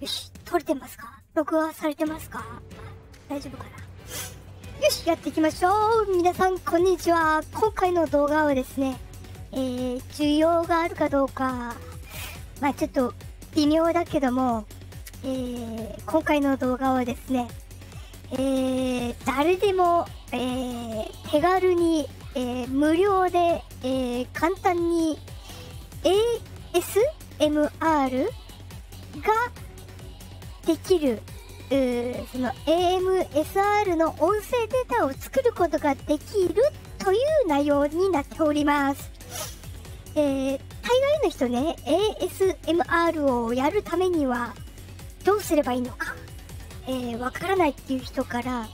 よし撮れてますか録画されてますか大丈夫かなよしやっていきましょう皆さんこんにちは今回の動画はですねえー、需要があるかどうかまあちょっと微妙だけどもえー、今回の動画はですねえー、誰でも、えー、手軽にえ無料で、え簡単に ASMR ができるその AMSR の音声データを作ることができるという内容になっております。え大概の人ね、ASMR をやるためにはどうすればいいのか、えからないっていう人から、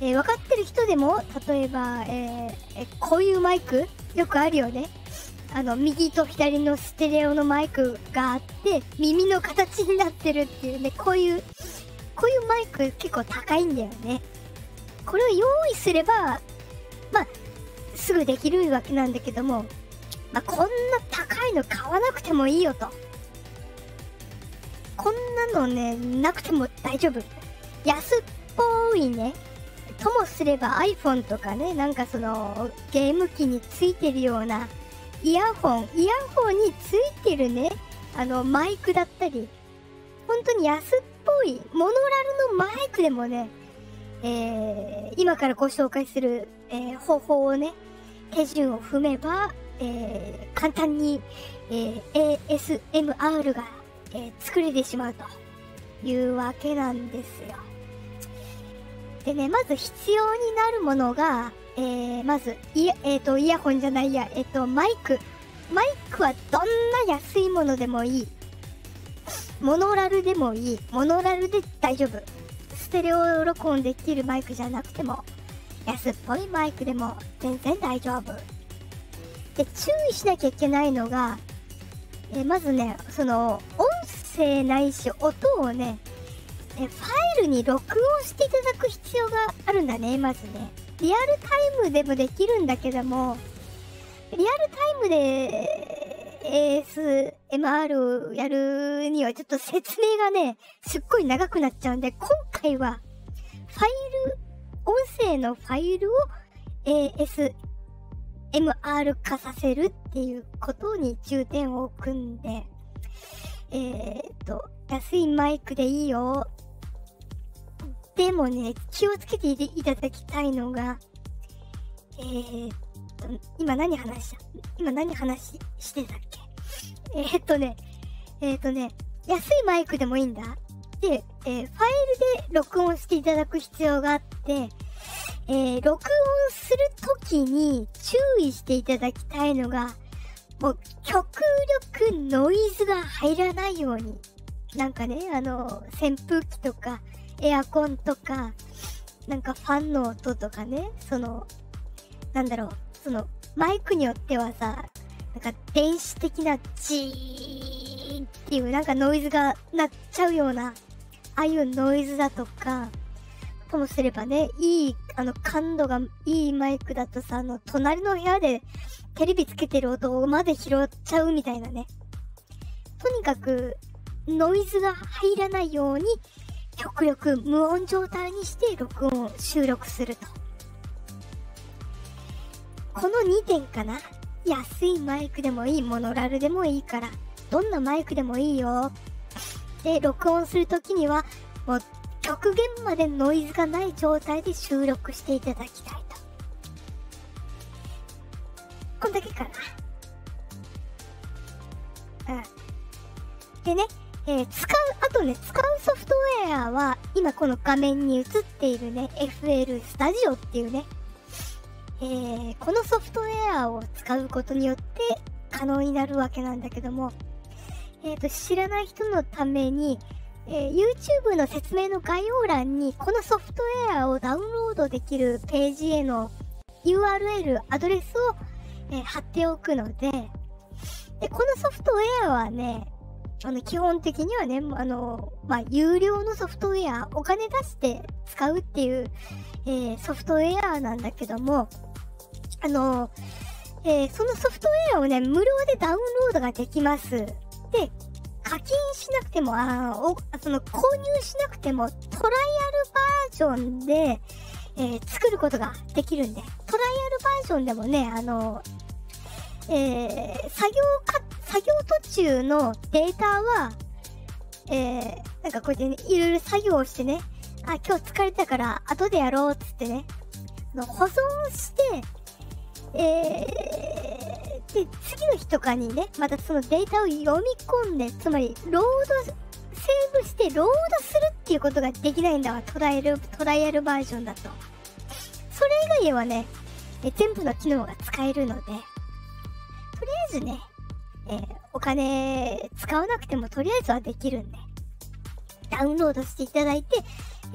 え分かってる人でも、例えば、えこういうマイク、よくあるよね。あの、右と左のステレオのマイクがあって、耳の形になってるっていうね、こういう、こういうマイク結構高いんだよね。これを用意すれば、まあ、すぐできるわけなんだけども、まこんな高いの買わなくてもいいよと。こんなのね、なくても大丈夫。安っぽいね。ともすれば iPhone とかね、なんかそのゲーム機についてるようなイヤホン、イヤホンについてるね、あのマイクだったり、本当に安っぽいモノラルのマイクでもね、え今からご紹介する、え方法をね、手順を踏めば、え簡単に、え ASMR が、え作れてしまうというわけなんですよ。でね、まず必要になるものが、えまず、いえっ、と、イヤホンじゃないや、えっ、と、マイク。マイクはどんな安いものでもいい。モノラルでもいい。モノラルで大丈夫。ステレオ録音できるマイクじゃなくても。安っぽいマイクでも全然大丈夫。で、注意しなきゃいけないのが、えまずね、その、音声ないし音をね、えファイルに録音していただく必要があるんだね、まずね。リアルタイムでもできるんだけども、リアルタイムで ASMR やるにはちょっと説明がね、すっごい長くなっちゃうんで、今回は、ファイル、音声のファイルを ASMR 化させるっていうことに重点を置くんで、えっと、安いマイクでいいよ。でもね、気をつけていただきたいのが、えっと、今何話した今何話してたっけえっとね、えっ、とね、安いマイクでもいいんだ。で、えファイルで録音していただく必要があって、え録音するときに注意していただきたいのが、もう極力ノイズが入らないように。なんかね、あの、扇風機とか、エアコンとか、なんかファンの音とかね、その、なんだろう、その、マイクによってはさ、なんか電子的なジーンっていうなんかノイズが鳴っちゃうような、ああいうノイズだとか、ともすればね、いい、あの、感度がいいマイクだとさ、あの、隣の部屋でテレビつけてる音まで拾っちゃうみたいなね。とにかく、ノイズが入らないように、極力無音状態にして録音、を収録する。この2点かな。安いマイクでもいい、モノラルでもいいから、どんなマイクでもいいよ。で、録音する時には、もう極限までノイズがない状態で収録していただきたいと。こんだけかな。うん。でね、え使う、あとね、使うソフトウェアは、今この画面に映っているね、FL Studio っていうね、えこのソフトウェアを使うことによって可能になるわけなんだけども、えー、と、知らない人のために、え YouTube の説明の概要欄に、このソフトウェアをダウンロードできるページへの URL、アドレスを、え貼っておくので、で、このソフトウェアはね、あの、基本的にはね、あの、ま有料のソフトウェア、お金出して使うっていう、えソフトウェアなんだけども、あの、えそのソフトウェアをね、無料でダウンロードができます。で、課金しなくても、あおその購入しなくても、トライアルバージョンで、え作ることができるんで、トライアルバージョンでもね、あの、え作業か、作業途中のデータは、えなんかこうやってね、いろいろ作業をしてね、あ、今日疲れたから後でやろうっつってね、の保存して、えー、で、次の日とかにね、またそのデータを読み込んで、つまり、ロード、セーブしてロード化するっていうことができないんだわ。トライアル、トライアルバージョンだと。それ以外ではね、え全部の機能が使えるので、とりあえずね、えお金使わなくてもとりあえずはできるんで、ダウンロードしていただいて、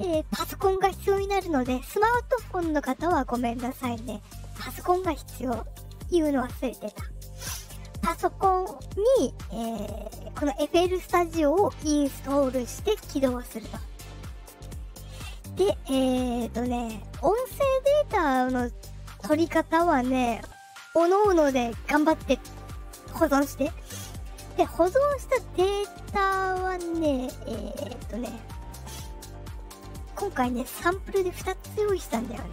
えパソコンが必要になるので、スマートフォンの方はごめんなさいね。パソコンが必要。言うの忘れてた。パソコンに、この FL v i s u をインストールして起動すると。で、えっとね、音声データの取り方はね、各々で頑張って保存して。で、保存したデータはね、えっとね、今回ね、サンプルで2つ用意したんだよね。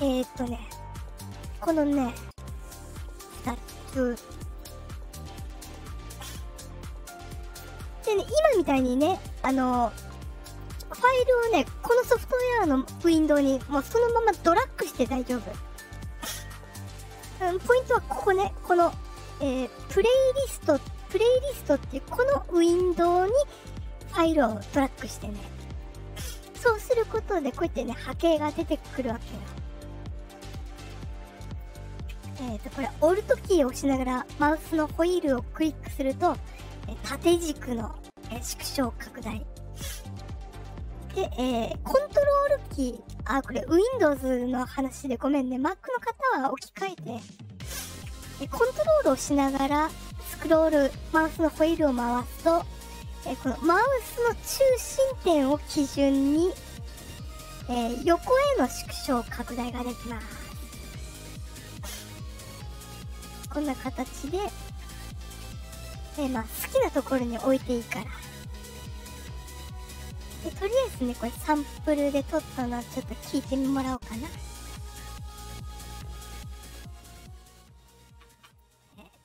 えっとね、このね、2つ。でね今みたいにねあのファイルをねこのソフトウェアのウィンドウにもうそのままドラッグして大丈夫うん、ポイントはここねこの、えプレイリストプレイリストっていうこのウィンドウにファイルをドラッグしてねそうすることでこうやってね波形が出てくるわけよ。えっ、とこれオルトキーを押しながらマウスのホイールをクリックすると、え縦軸の、え縮小拡大で、えコントロールキーあこれ Windows の話でごめんね Mac の方は置き換えて、えコントロールをしながらスクロールマウスのホイールを回すとえこのマウスの中心点を基準に、え横への縮小拡大ができます。こんな形で、えま好きなところに置いていいから。で、とりあえずね、これサンプルで撮ったのはちょっと聞いてもらおうかな。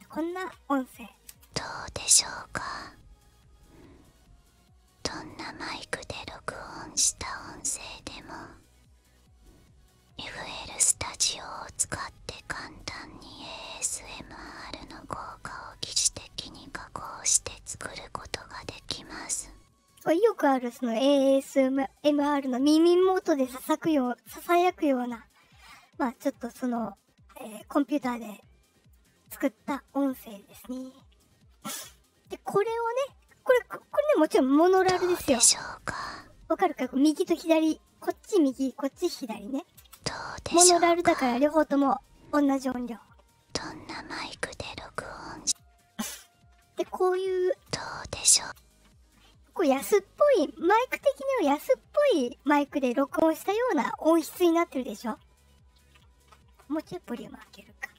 こんな音声どうでしょうかどんなマイクで録音した音声でも FL スタジオを使って簡単に ASMR の効果を疑似的に加工して作ることができますよくあるその ASMR の耳元でささくようささやくようなまあちょっとそのえコンピューターで作った音声ですね。で、これをね、これ、これね、もちろんモノラルですよ。わかるか右と左、こっち右、こっち左ね。モノラルだから両方とも同じ音量。どんなマイクで録音で、こういう。どうでしょうこう安っぽい、マイク的には安っぽいマイクで録音したような音質になってるでしょもうちょいボリ開けるか。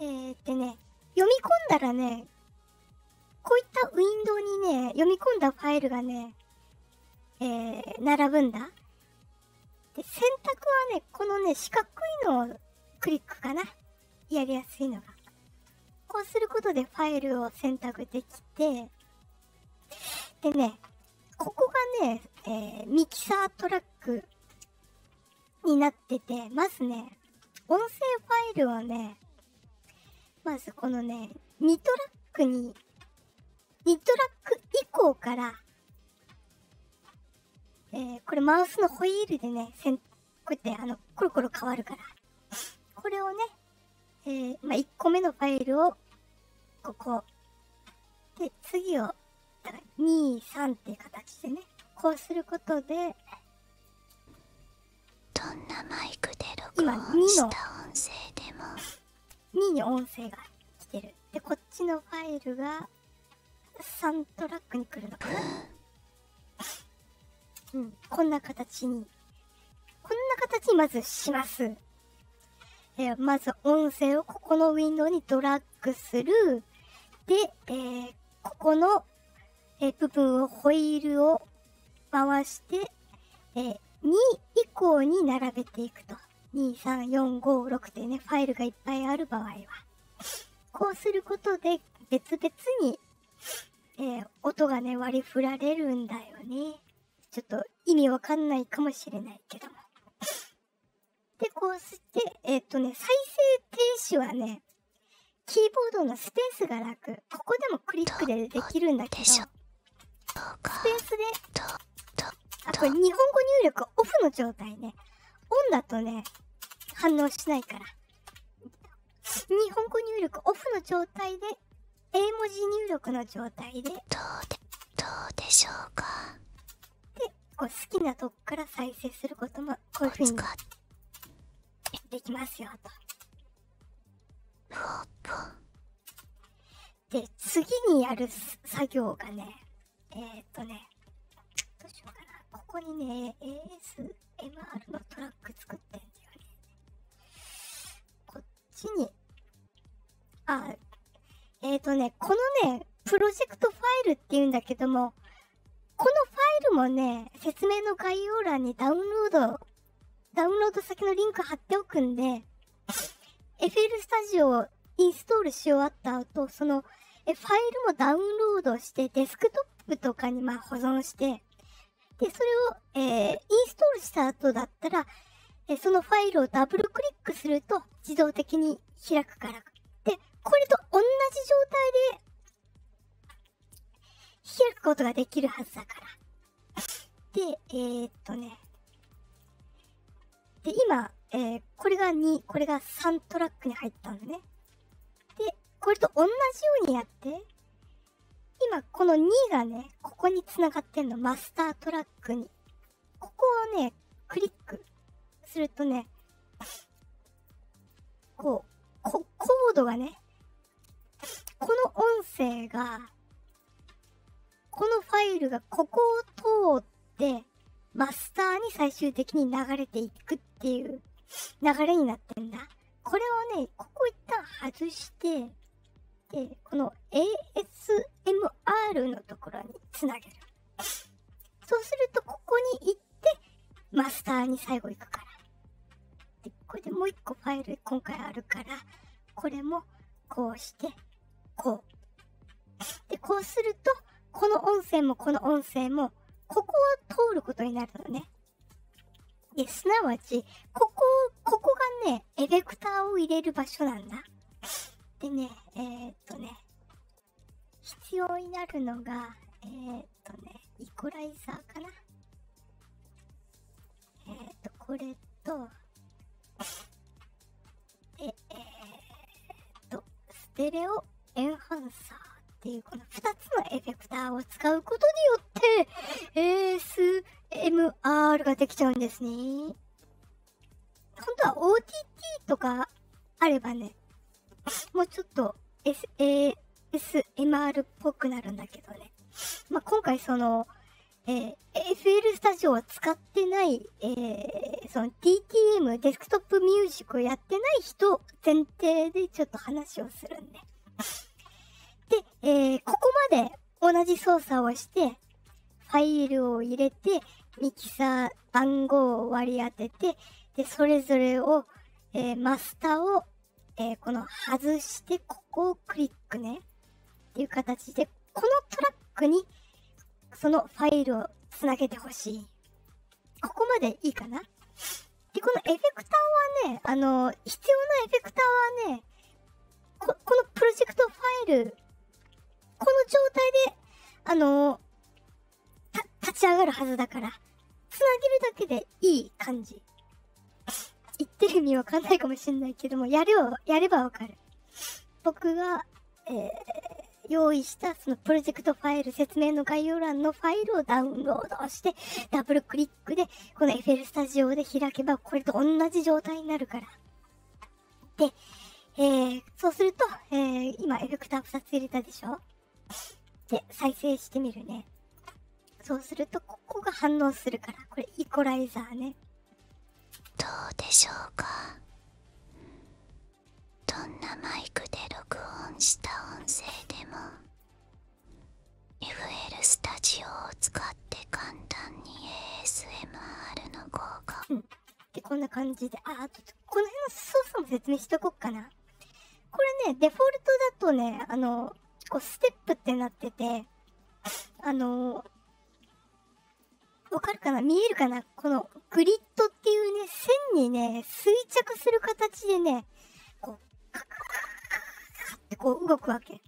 えー、てね、読み込んだらね、こういったウィンドウにね、読み込んだファイルがね、え並ぶんだ。で、選択はね、このね、四角いのをクリックかな。やりやすいのが。こうすることでファイルを選択できて、でね、ここがね、えミキサートラックになってて、まずね、音声ファイルはね、まずこのね、2トラックに、2トラック以降から、えこれマウスのホイールでね、こうやってあの、コロコロ変わるから、これをね、えま1個目のファイルを、ここ。で、次を、だから2、3っていう形でね、こうすることで、どんなマイクで録音した音声でも2に音声が来てるでこっちのファイルが3トラックに来るのかなうんこんな形にこんな形にまずします。えまず音声をここのウィンドウにドラッグする。で、えここの、え部分をホイールを回して、え2以降に並べていくと。2、3、4、5、6ってね、ファイルがいっぱいある場合は。こうすることで別々に、え音がね、割り振られるんだよね。ちょっと意味わかんないかもしれないけども。で、こうして、えっ、とね、再生停止はね、キーボードのスペースが楽。ここでもクリックでできるんだけど、スペースで、あ、これ日本語入力オフの状態ね。オンだとね、反応しないから。日本語入力オフの状態で絵文字入力の状態でどうでしょうかでこう好きなとこから再生することもこういうふうにできますよと。で次にやる作業がねえっ、とねどうしようかなここにね ASMR のトラック作ってんだよね地に、あ、えー、とね、このね、プロジェクトファイルっていうんだけども、このファイルもね、説明の概要欄にダウンロード、ダウンロード先のリンク貼っておくんで、FL s t u d i o をインストールし終わった後、そのえファイルもダウンロードして、デスクトップとかにま保存して、で、それを、えインストールした後だったら、えそのファイルをダブルクリックすると自動的に開くから。で、これと同じ状態で開くことができるはずだから。で、えっとね。で、今、えこれが2、これが3トラックに入ったのね。で、これと同じようにやって、今この2がね、ここに繋がってんの。マスタートラックに。ここをね、クリックするとね、こう、こコードがね、この音声が、このファイルがここを通って、マスターに最終的に流れていくっていう流れになってんだ。これをね、ここ一旦外して、えこの ASMR のところにつなげる。そうすると、ここに行って、マスターに最後行くから。で、これでもう一個ファイル今回あるから、これもこうして、こう。で、こうすると、この音声もこの音声も、ここを通ることになるのね。で、すなわち、ここ、ここがね、エフェクターを入れる場所なんだ。でね、えっとね、必要になるのが、えっとね、イコライザーかな。えっと、これと、え、えっと、ステレオエンハンサーっていうこの2つのエフェクターを使うことよっ ASMR ができちゃうんですね。本当は OTT とかあればね、もうちょっと ASMR っぽくなるんだけどね。ま今回その、え FL スタジオを使ってない、えその DTM、デスクトップミュージックをやってない人前提でちょっと話をするんで。で、えここまで同じ操作をして、ファイルを入れて、ミキサー番号を割り当てて、で、それぞれを、えマスターを、えこの外して、ここをクリックね。っていう形で、このトラックに、そのファイルをつなげてほしい。ここまでいいかなで、このエフェクターはね、あの、必要なエフェクターはね、このプロジェクトファイル、この状態で、あの立ち上がるはずだから、つなげるだけでいい感じ。言ってる意味わかんないかもしんないけども、やれば、やればわかる。僕が、えー、用意したそのプロジェクトファイル説明の概要欄のファイルをダウンロードして、ダブルクリッで、このエフェルスタジオで開けば、これと同じ状態になるから。で、えそうすると、えー、今エフェクター2つ入れたでしょで、再生してみるね。そうすると、ここが反応するから、これイコライザーね。どうでしょうかどんなマイクで録音した音声でも FL スタジオを使って簡単に ASMR の効果、うん、こんな感じでああとこの辺の操作も説明しとこうかなこれねデフォルトだとねあのこうステップってなっててあのわかるかな見えるかなこのグリッドっていうね、線にね、垂直する形でね、こう、カカカカってこう動くわけ。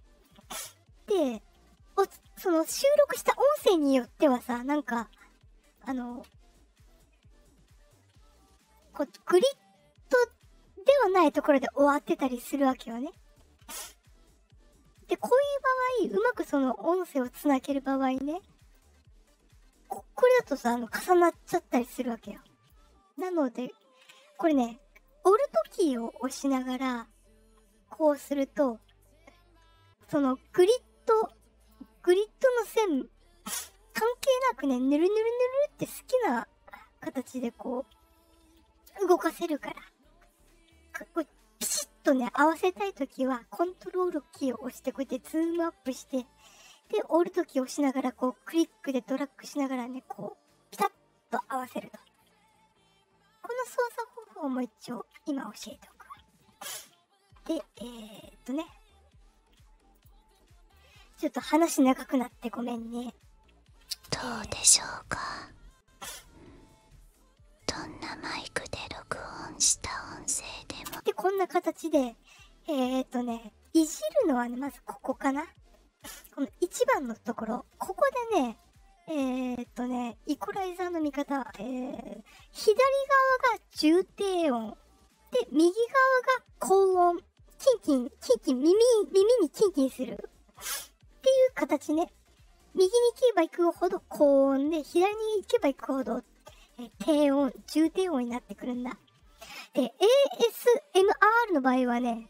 っその収録した音声によってはさなんかあのこうグリッドではないところで終わってたりするわけよね。でこういう場合うまくその音声をつなげる場合ねこれだとさあの重なっちゃったりするわけよ。なのでこれねオルトキーを押しながらこうすると、そのグリッド、グリッドの線、関係なくね、ぬるぬるぬるって好きな形でこう、動かせるから。こいピシッとね、合わせたい時は、コントロールキーを押して、こうやってズームアップして、で、折るルドを押しながら、こう、クリックでドラッグしながらね、こう、ピタッと合わせると。この操作方法も一応今教えておく。で、えっとね。ちょっと話長くなってごめんね。どうでしょうか。どんなマイクで録音した音声でも。で、こんな形で、えっとね、いじるのはね、まずここかな。この1番のところ、ここでね、えっとね、イコライザーの見方、え左側が重低音、で、右側が高音、キンキン、キンキン、耳、耳にキンキンする。っていう形ね。右に行けば行くほど高音で、左に行けば行くほど、え低音、重低音になってくるんだ。で、ASMR の場合はね、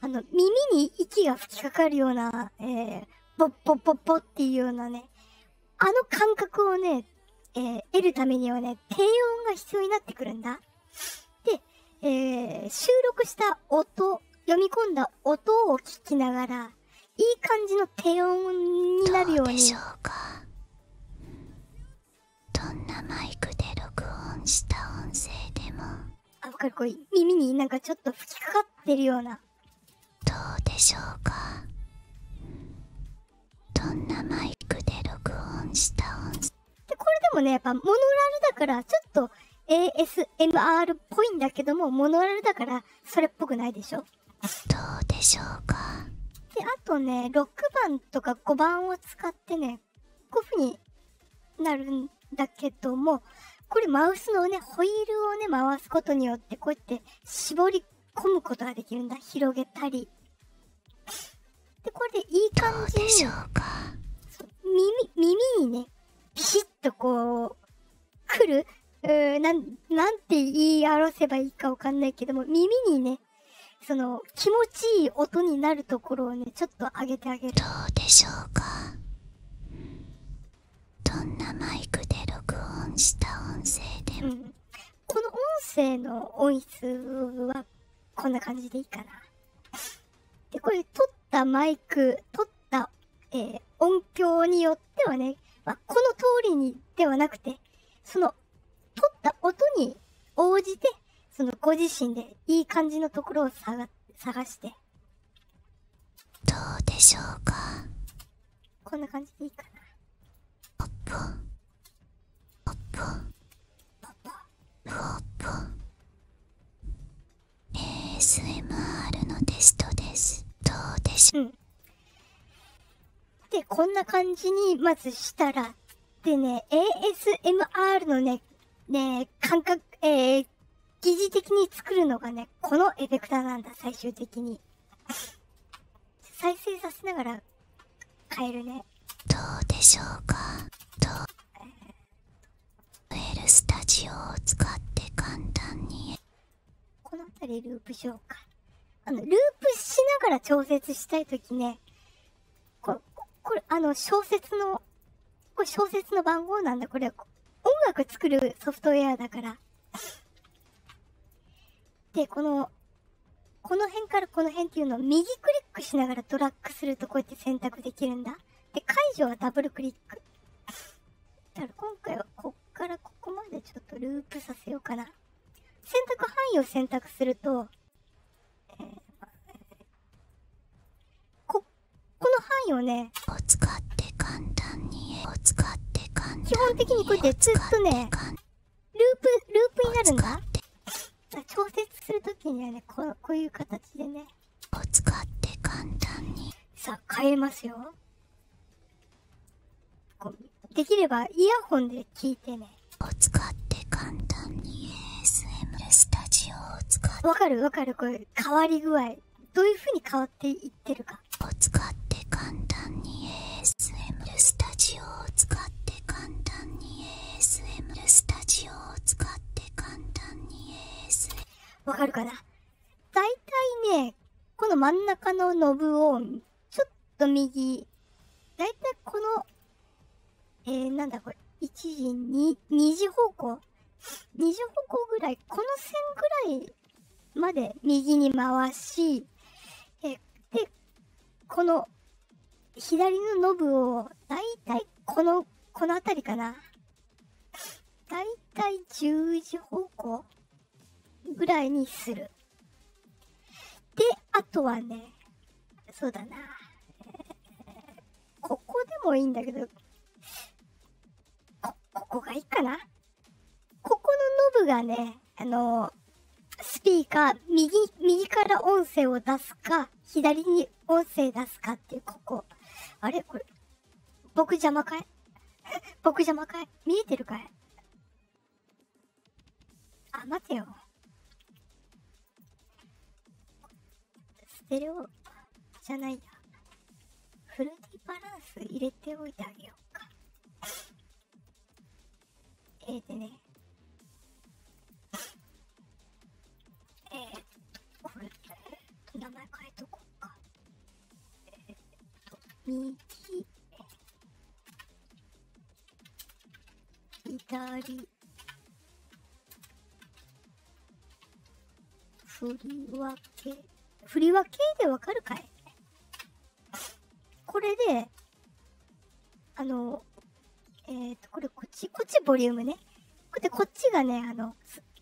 あの、耳に息が吹きかかるような、えポッポッポッポっていうようなね、あの感覚をね、え得るためにはね、低音が必要になってくるんだ。で、え収録した音、読み込んだ音を聞きながら、いい感じの低音になるように。しょうかどんなマイクで録音した音声でも。あかっこい耳になんかちょっと吹きかかってるようなどうでしょうかどんなマイクで録音した音声でこれでもねやっぱモノラルだからちょっと ASMR っぽいんだけどもモノラルだからそれっぽくないでしょどうでしょうかであとね6番とか5番を使ってねこういう風になるんだけども、これマウスのね、ホイールをね、回すことによって、こうやって絞り込むことができるんだ。広げたり。で、これでいい感じに。耳、耳にね、ピシッとこう、来るうなん、て言い表せばいいかわかんないけども、耳にね、その、気持ちいい音になるところをね、ちょっと上げてあげる。どうでしょうかどんなマイクで録音した音声でも、この音声の音質はこんな感じでいいかなでこれ取ったマイク取った、え音響によってはね、まこの通りにではなくてその取った音に応じてそのご自身でいい感じのところを探してどうでしょうかこんな感じでいいかなポッポポッポポッポポッ ASMR のテストですどうでしょう、でこんな感じにまずしたらでね ASMR のねね感覚え疑似的に作るのがね、このエフェクターなんだ、最終的に。再生させながら変えるね。どうでしょうかと、ウェルスタジオを使って簡単に。この辺りループしか。あの、ループしながら調節したい時ね、こ、これ、あの、小説のこれ小説の番号なんだ、これ。音楽作るソフトウェアだから。で、この、この辺からこの辺っていうのを右クリックしながらドラッグするとこうやって選択できるんだ。で、解除はダブルクリック。だから今回はこっからここまでちょっとループさせようかな。選択範囲を選択すると、えー、こっこの範囲をねを使って簡単に使って基本的にこうやってつ、っとねループループになるんだ調節する時にはねここういう形でねを使って簡単にさあ変えますよできればイヤホンで聞いてねを使って簡単にわかるわかるこれ変わり具合どういう風に変わっていってるかを使って簡単に ASMR スタジオを使って簡単に ASMR スタジオを使って簡単に a s m わかるかなだいたいねこの真ん中のノブをちょっと右だいたいこのえなんだこれ1時に2次方向20方向ぐらい、この線ぐらいまで右に回し、えで、この左のノブをだいたいこの、この辺りかな。だいたい10時方向ぐらいにする。で、あとはね、そうだな。ここでもいいんだけど、こ、ここがいいかなここのノブがね、あの、スピーカー、右、右から音声を出すか、左に音声出すかっていう、ここ。あれこれ、僕邪魔かい 僕邪魔かい見えてるかいあ、待てよ。ステレオじゃないや。フルーティーバランス入れておいてあげようか。えでね。えー、これ、名前変えとこうか。えー、っと、右、左、振り分け。振り分けでわかるかいこれで、あの、えっ、と、これこっち、こっちボリュームね。で、こっちがね、あの、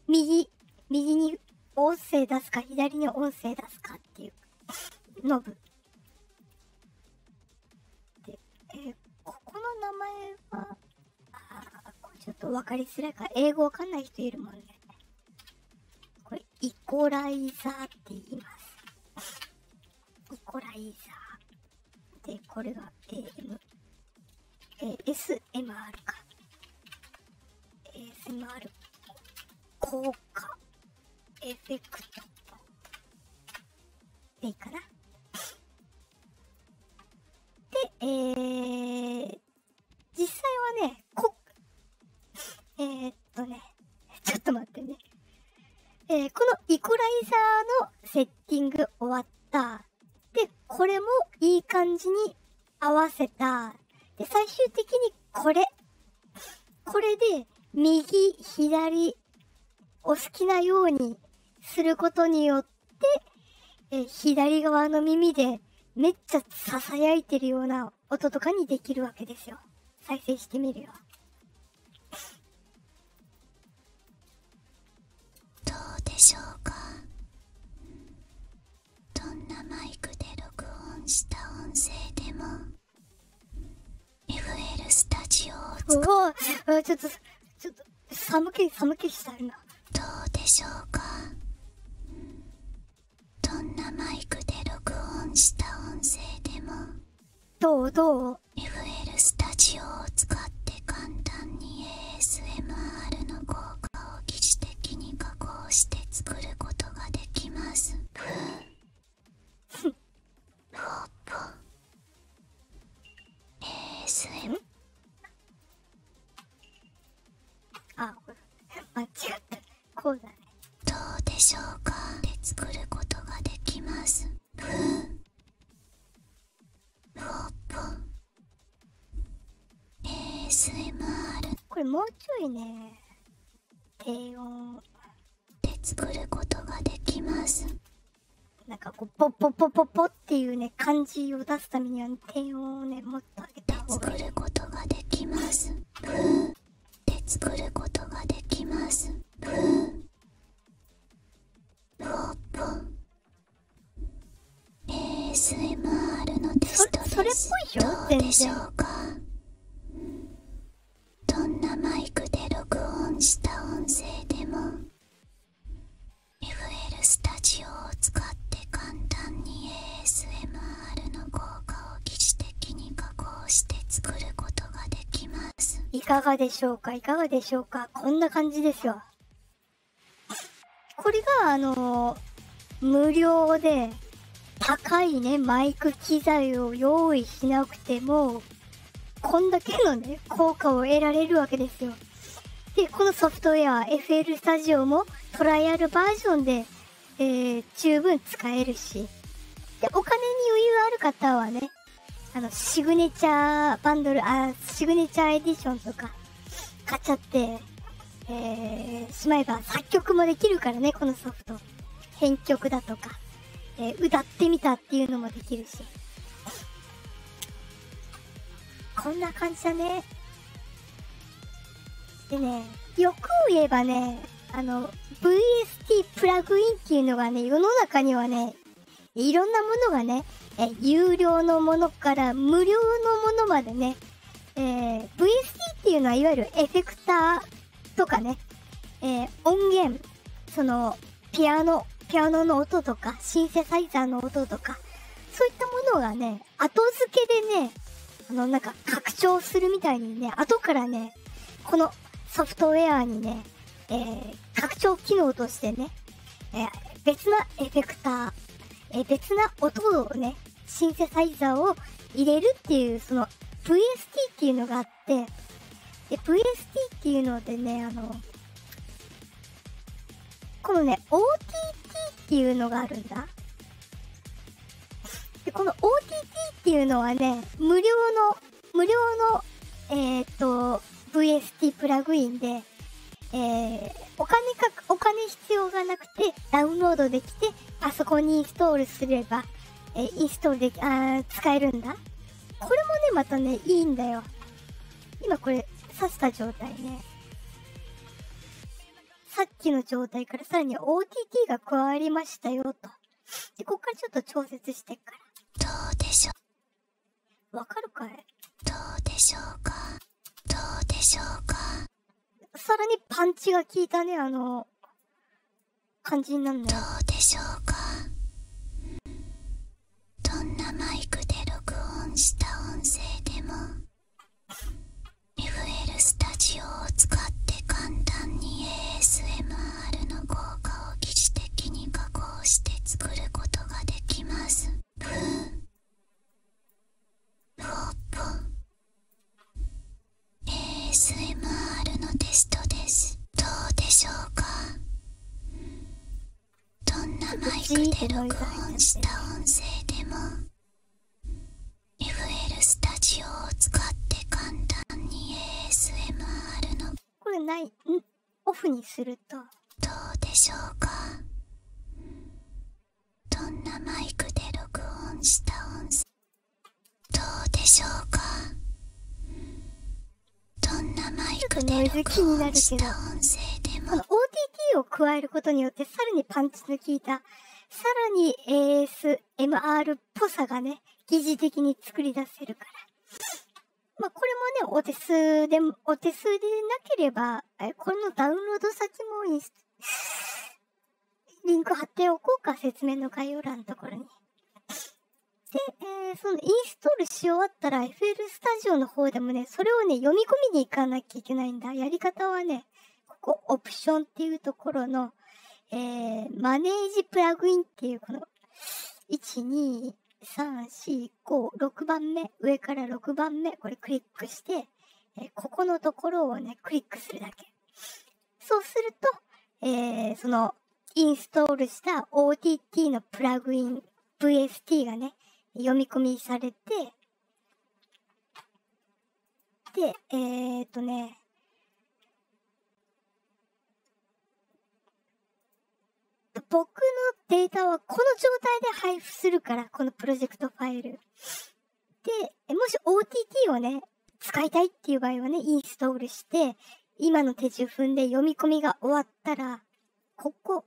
右、右に音声出すか、左に音声出すかっていう、ノブ。で、えここの名前は、ちょっと分かりづらいから、英語わかんない人いるもんね。これ、イコライザーって言います。イコライザー。で、これは AM。えー、SMR か。ASMR。効果。エフェクト。でいいかな。で、えー、実際はね、えっとね、ちょっと待ってね。えこのイコライザーのセッティング終わった。で、これもいい感じに合わせた。で、最終的にこれ。これで、右、左、お好きなようにすることによって、で、え左側の耳でめっちゃ囁いてるような音とかにできるわけですよ。再生してみるよ。どうでしょうかどんなマイクで録音した音声でも FL スタジオを使ちょっとちょっと寒気寒気したるなどうでしょうかどんなマイクで録音した音声でもどうどう ?FL スタジオを使って簡単に ASMR の効果を疑似的に加工して作ることができますふぅふぅ ASMR あ、これ、間違った。こうだね。どうでしょうかで作ることができます。ふぅ。ふぉっぽ。ASMR。これもうちょいね。低音。で作ることができます。なんかこう、ポッポッポっていうね、感じを出すためには、低音をね、もっと上げた作ることができます。ふー。で作ることができます。ふー。ふおぽん。ASMR のテストです。それっぽいどうでしょうかどんなマイクで録音した音声でも FL スタジオを使って簡単に ASMR の効果を疑似的に加工して作ることができますいかがでしょうかいかがでしょうかこんな感じですよこれがあの無料で高いねマイク機材を用意しなくてもこんだけのね効果を得られるわけですよで、このソフトウェア FL スタジオもトライアルバージョンで、え十分使えるし。で、お金に余裕ある方はね、あの、シグネチャーバンドル、あ、シグネチャーエディションとか買っちゃって、えー、しまえば作曲もできるからね、このソフト。編曲だとか、え歌ってみたっていうのもできるし。こんな感じだね。でね、欲を言えばね、あの、VST プラグインっていうのがね、世の中にはね、いろんなものがね、え有料のものから無料のものまでね、え VST っていうのはいわゆるエフェクターとかね、え音源、その、ピアノ、ピアノの音とか、シンセサイザーの音とか、そういったものがね、後付けでね、あの、なんか拡張するみたいにね、後からね、このソフトウェアにね、え拡張機能としてね、え別なエフェクター、え別な音をね、シンセサイザーを入れるっていう、その VST っていうのがあって、で、VST っていうのでね、あの、このね、OTT っていうのがあるんだ。で、この OTT っていうのはね、無料の、無料の、えっ、と、VST プラグインで、えお金かく、お金必要がなくて、ダウンロードできて、あそこにインストールすれば、えインストールでき、あ使えるんだ。これもね、またね、いいんだよ。今これ、刺した状態ね。さっきの状態からさらに OTT が加わりましたよと。で、こっからちょっと調節してっから。どうでしょう。わかるかいどうでしょうかどうでしょうかさらにパンチが効いたね、あの、感じになるんだどうでしょうかどんなマイクで録音した音声でも。FL スタジオを使って簡単に ASMR の効果を疑似的に加工して作ることができますふーふおっぽ ASMR のテストですどうでしょうかどんなマイクで録音した音声でも FL スタジオを使って簡単に ASMR のこれないんオフにするとどうでしょうかどんなマイクで録音した音声どうでしょうかどんなマイクで録音した音声でも OTT 加えることによってさらにパンチの効いた、さらに ASMR っぽさがね、疑似的に作り出せるから。まこれもね、お手数で、お手数でなければ、このダウンロード先もインリンク貼っておこうか、説明の概要欄のところに。で、えそのインストールし終わったら FL スタジオの方でもね、それをね、読み込みに行かなきゃいけないんだ。やり方はね、ここオプションっていうところの、えマネージプラグインっていうこの、1、2、3、4、5、6番目、上から6番目、これクリックして、えここのところをね、クリックするだけ。そうすると、えその、インストールした OTT のプラグイン VST がね、読み込みされて、で、えっとね、僕のデータはこの状態で配布するから、このプロジェクトファイル。で、もし OTT をね、使いたいっていう場合はね、インストールして、今の手順踏んで読み込みが終わったら、ここ、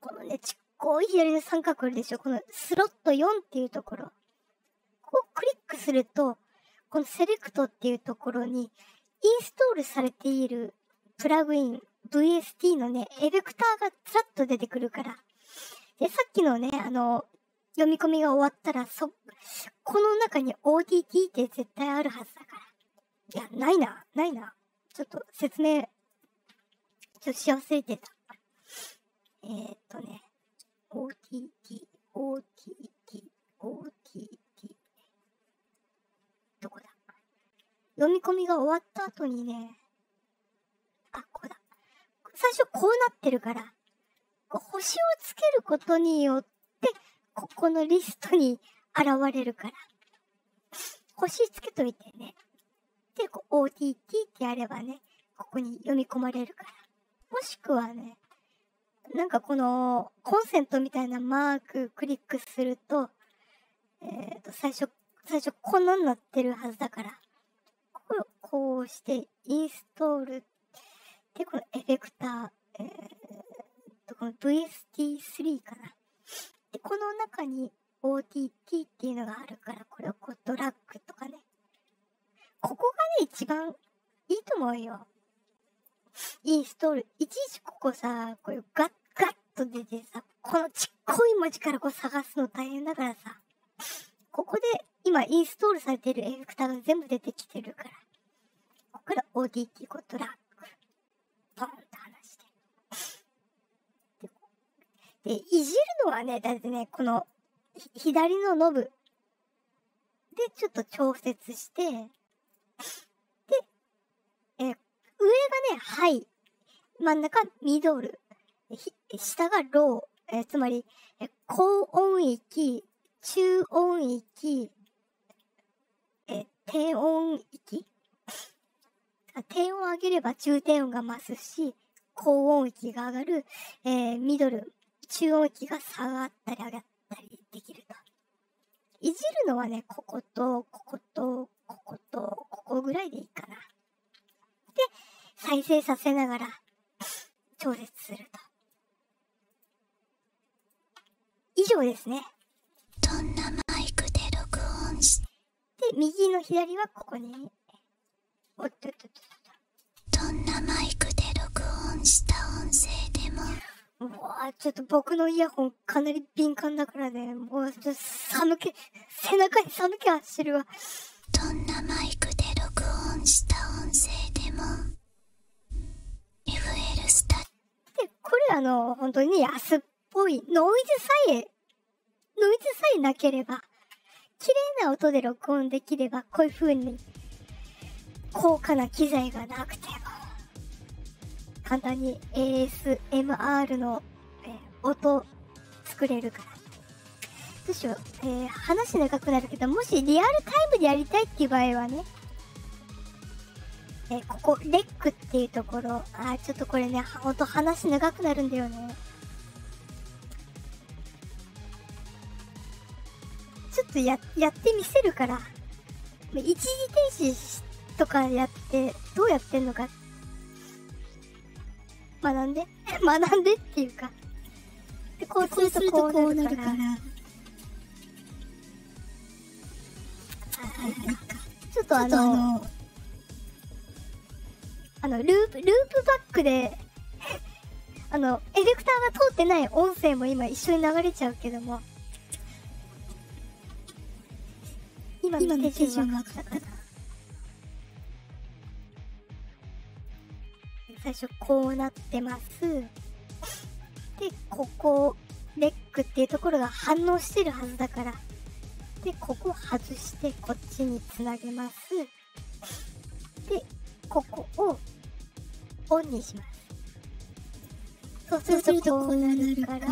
このね、ちっこい左の三角あるでしょこのスロット4っていうところ。ここをクリックすると、このセレクトっていうところに、インストールされているプラグイン、VST のね、エフェクターがずらっと出てくるから。で、さっきのね、あの、読み込みが終わったら、そ、この中に o d d って絶対あるはずだから。いや、ないな、ないな。ちょっと説明、ちょっとし忘れてた。えっとね、OTT、OTT、OTT。どこだ読み込みが終わった後にね、あ、ここだ。最初こうなってるから、星をつけることによって、ここのリストに現れるから。星つけといてね。で、OTT ってやればね、ここに読み込まれるから。もしくはね、なんかこのコンセントみたいなマーククリックすると、えっ、と、最初、最初こんなになってるはずだから、こうしてインストールで、このエフェクター、えー、と、この VST3 かな。で、この中に OTT っていうのがあるから、これをこうドラッグとかね。ここがね、一番いいと思うよ。インストール。いちいちここさ、これガッガッと出てさ、このちっこい文字からこう探すの大変だからさ、ここで今インストールされてるエフェクターが全部出てきてるから、ここから ODT こうドラッグ、ポンと離して。で、いじるのはね、だってね、この、左のノブでちょっと調節して、で、え上がね、ハイ、真ん中ミドル、下がロー、えつまり、え高音域、中音域、え低音域低音を上げれば重低音が増すし、高音域が上がる、えミドル、中音域が下がったり上がったりできると。いじるのはね、ここと、ここと、ここと、ここぐらいでいいかな。で、再生させながら調節すると。以上ですね。どんなマイクで録音で、右の左はここに。おっとっとっと。っどんなマイクで録音した音声でも。うわちょっと僕のイヤホンかなり敏感だからね。もうちょっと寒気、背中に寒気走るわ。どんなマイクで録音した音声でも。FL スタで、これあの、本当にね、安っぽいノイズさえノイズさえなければ、綺麗な音で録音できれば、こういう風に、高価な機材がなくても、簡単に ASMR の、え音作れるから。どうしよう、え話長くなるけど、もしリアルタイムでやりたいっていう場合はね、えここ、レックっていうところ、あちょっとこれね、音話長くなるんだよね。ちょっとや、やってみせるから。一時停止とかやって、どうやってんのか。学んで 学んでっていうか。で、こうするとこうなるから。ちょっとあの、あの、ループ、ループバックで あの、エレクターが通ってない音声も今一緒に流れちゃうけども。今最初こうなってます。で、ここ、レックっていうところが反応してるはずだから。で、ここ外してこっちにつなげます。ますでここをオンにしますそうするとこうなるから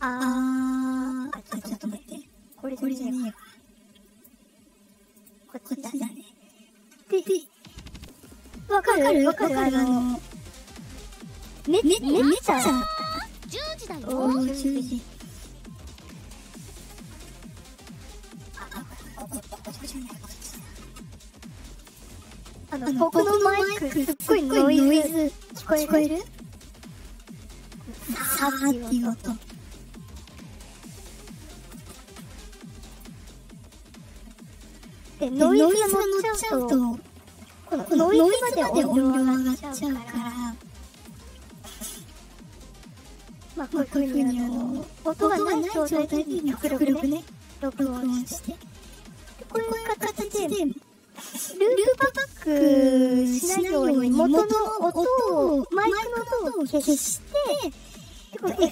あーあちょっと待ってこれこれじゃねえわこっちだねでわかるわかるわかるあのねねねねちゃ十時だよ。お十時。あのこのマイクすっごいノ聞こえる？聞さっていう音。でノイズがちゃうと。もうこのノイズまで音量上がっちゃうからまあこういうふうにあの音がない状態で極力ね録音してこういう形でループバックしないように元の音をマイクの音を消してでこの FM ラ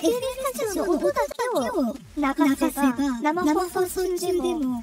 ジオの音だけを流せば生放送中でも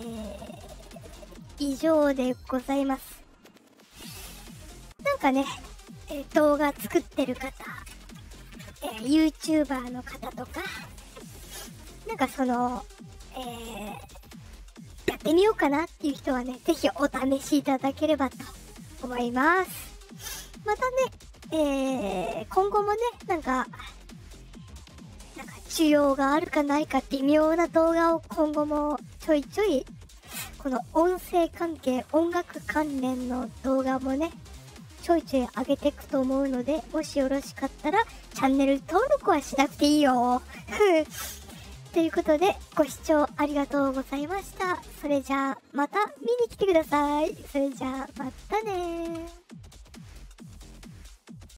え以上でございます。なんかね、え動画作ってる方、え YouTuber の方とか、なんかその、えやってみようかなっていう人はね、是非お試しいただければと思います。またね、え今後もね、なんか、なんか需要があるかないか微妙な動画を今後もちょいちょい、この音声関係、音楽関連の動画もね、ちょいちょい上げていくと思うので、もしよろしかったら、チャンネル登録はしなくていいよ。ということで、ご視聴ありがとうございました。それじゃあ、また見に来てください。それじゃあ、またね